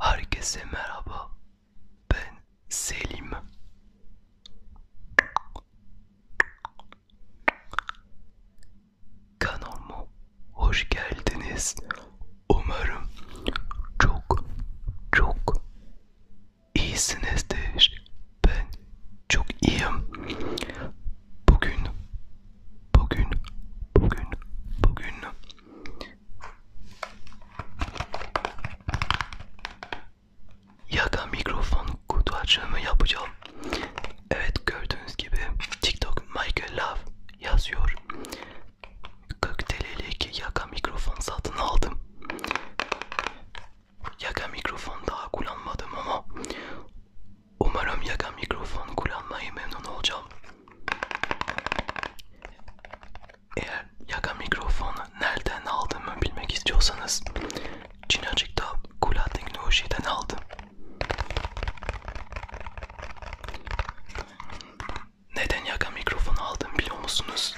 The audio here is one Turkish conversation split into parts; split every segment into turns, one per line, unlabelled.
Herkese merhaba. Ben Selim. Kanalıma hoş geldiniz. Umarım çok çok iyisinizdir. Ben çok iyiyim. Bugün, bugün, bugün, bugün yaka mikrofon kutu açımı yapacağım. Evet gördüğünüz gibi TikTok Michael Love yazıyor. 40 TL'lik yaka mikrofon satın aldım. Yaka mikrofon daha kullanmadım ama umarım yaka mikrofon kullanmayı memnun olacağım. Eğer yaka mikrofonu nereden aldığımı bilmek istiyorsanız Çinacık'ta Kula Teknoloji'den aldım. Neden yaka mikrofonu aldım biliyor musunuz?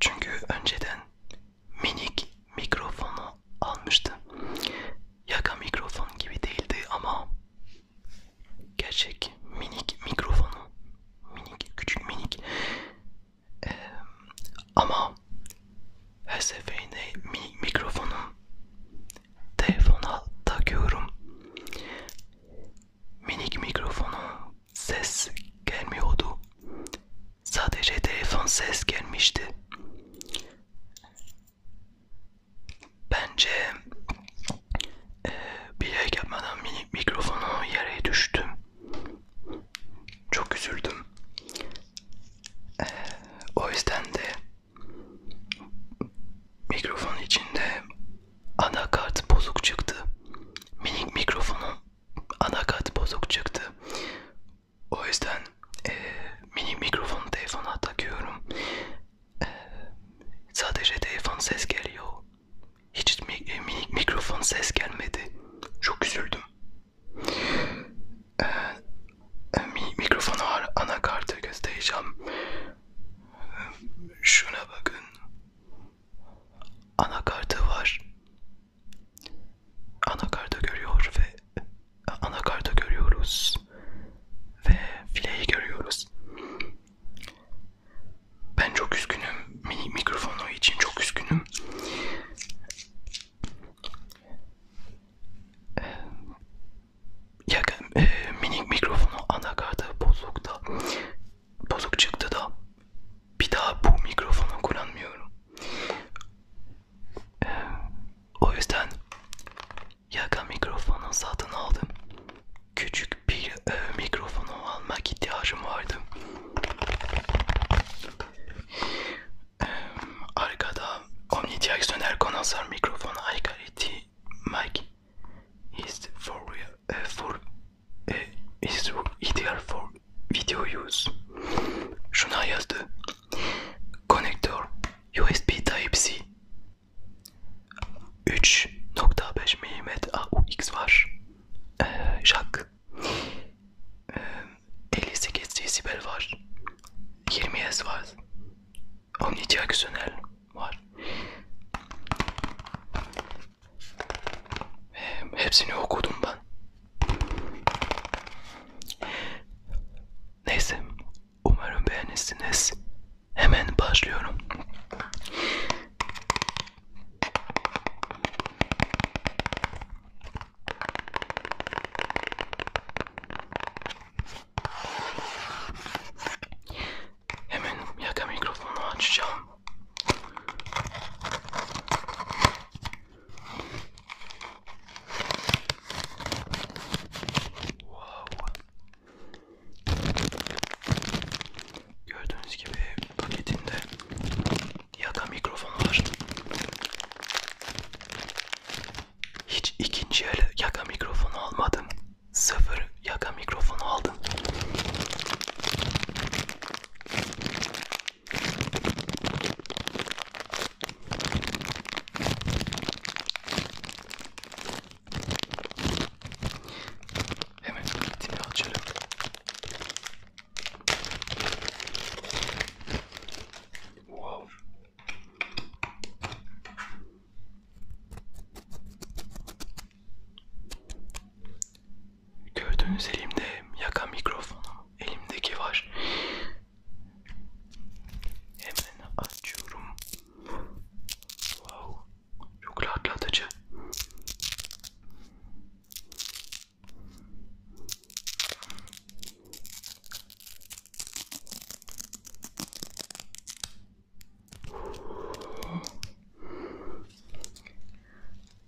Çünkü önceden minik mikrofonu almıştım. Yaka mikrofon gibi değildi ama gerçek minik mikrofonu minik küçük minik ee, ama her seferinde minik mikrofonum telefona takıyorum. Minik mikrofonu ses gelmiyordu. Sadece telefon ses gelmişti. Bence e, bilerek yapmadan minik mikrofonu yere düştüm. Çok üzüldüm. E, o yüzden de Mikrofon içinde anakart bozuk çıktı. Minik mikrofonun anakart bozuk çıktı. O yüzden e, mini mikrofonu telefona takıyorum. E, sadece telefon ses geliyor. Hiç mi, e, minik mikrofon ses gelmedi. Çok üzüldüm mikrofonu anakartı göstereceğim. Şuna bakın. Anakartı var. Anakartı görüyor ve anakartı görüyoruz ve fileyi görüyoruz. Ben çok üzgünüm. Mikrofonu için çok üzgünüm yakın e, minik mikrofonu anakartı bozukta bozuk çıktı da bir daha bu mikrofonu kullanmıyorum. E, o yüzden yaka mikrofonu satın aldım. Küçük bir e, mikrofonu almak ihtiyacım vardı. Arkada omnidireksiyonel kondansör mikrofonu aykırı ettiği mic is for real, uh, for uh, is ideal for video use. Şuna yazdı. Konektör USB Type-C 3.5 mm AUX var. Ee, jack. Ee, 58 desibel var. 20 Hz var. Omnidireksiyonel var. Ve hepsini okudum ben. Neyse. Umarım beğenirsiniz. Hemen başlıyorum. Hemen yaka mikrofonu açacağım. Wow. Gördüğünüz gibi paketinde yaka mikrofonu var. Hiç ikinci el yaka mikrofonu almadım. Sıfır yaka mikrofonu aldım. Hemen kitimi açalım. Wow. Gördüğünüz elimde yaka mikrofonu elimdeki var. Hemen açıyorum. Wow, çok rahatlatıcı.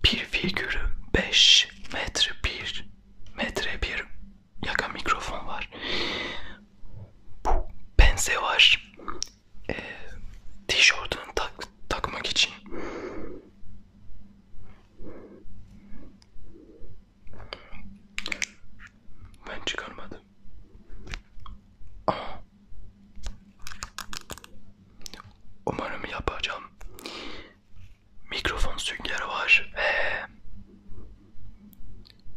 Bir figürü 5 metre bir metre bir yaka mikrofon var. Bu pense var. E, tişörtünü tak, takmak için. Ben çıkarmadım. Ama umarım yapacağım. Mikrofon süngeri var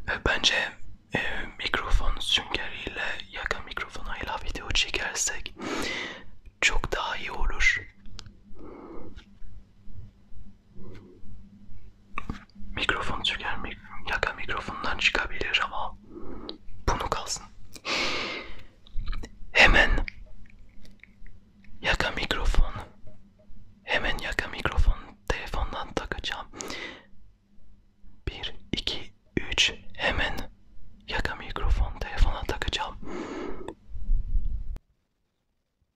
ve bence e, mikrofon süngeriyle yakın mikrofonuyla video çekersek çok daha iyi olur. Mikrofon çeker mi? Yaka mikrofondan çıkabilir ama bunu kalsın. Hemen yaka mikrofon. Hemen yaka mikrofon telefondan takacağım. 1 2 3 hemen yaka mikrofon telefona takacağım.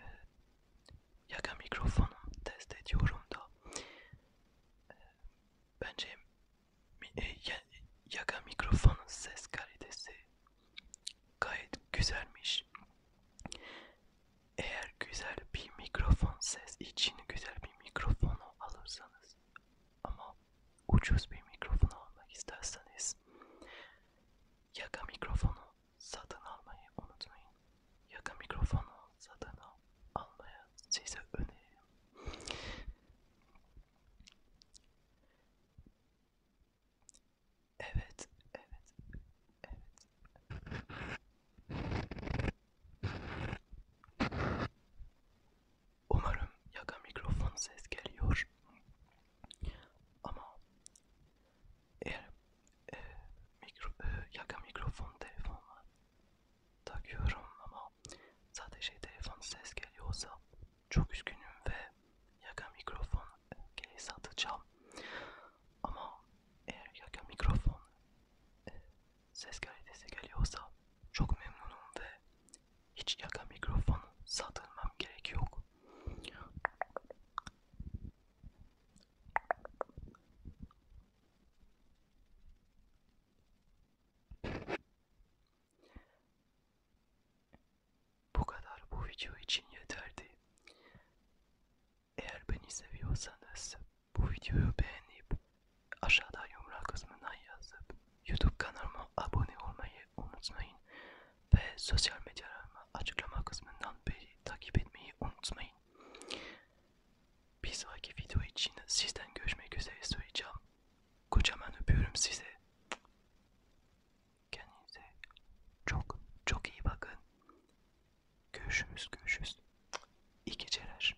e, ee, yaka mikrofonu test ediyorum da ee, e, bence e, yaka mikrofonun ses kalitesi gayet güzelmiş. Eğer güzel bir mikrofon ses için güzel bir mikrofonu alırsanız ama ucuz bir mikrofon almak isterseniz Yaka mikrofonu satın almayı unutmayın. Yaka mikrofonu satın almayı size öneririm. Evet, evet, evet. Umarım yaka mikrofon ses geliyor. Ama eğer e, mikro, e, yaka mikrofon telefonla takıyorum ama sadece telefon ses geliyorsa çok üzgünüm ve yaka mikrofon e, geri satacağım. Ama eğer yaka mikrofon e, ses kalitesi geliyorsa çok memnunum ve hiç yaka mikrofonu satılmam gerek yok. Bu kadar bu video için yeterdi. Eğer beni seviyorsanız bu videoyu beğenip aşağıda yumrağın kısmına yazıp YouTube kanalıma abone olmayı unutmayın ve sosyal medyalarımı açıklama kısmından beni takip etmeyi unutmayın. Bir sonraki video için sizden görüşmek üzere söyleyeceğim. Kocaman öpüyorum sizi. Kendinize çok çok iyi bakın. Görüşürüz görüşürüz. İyi geceler.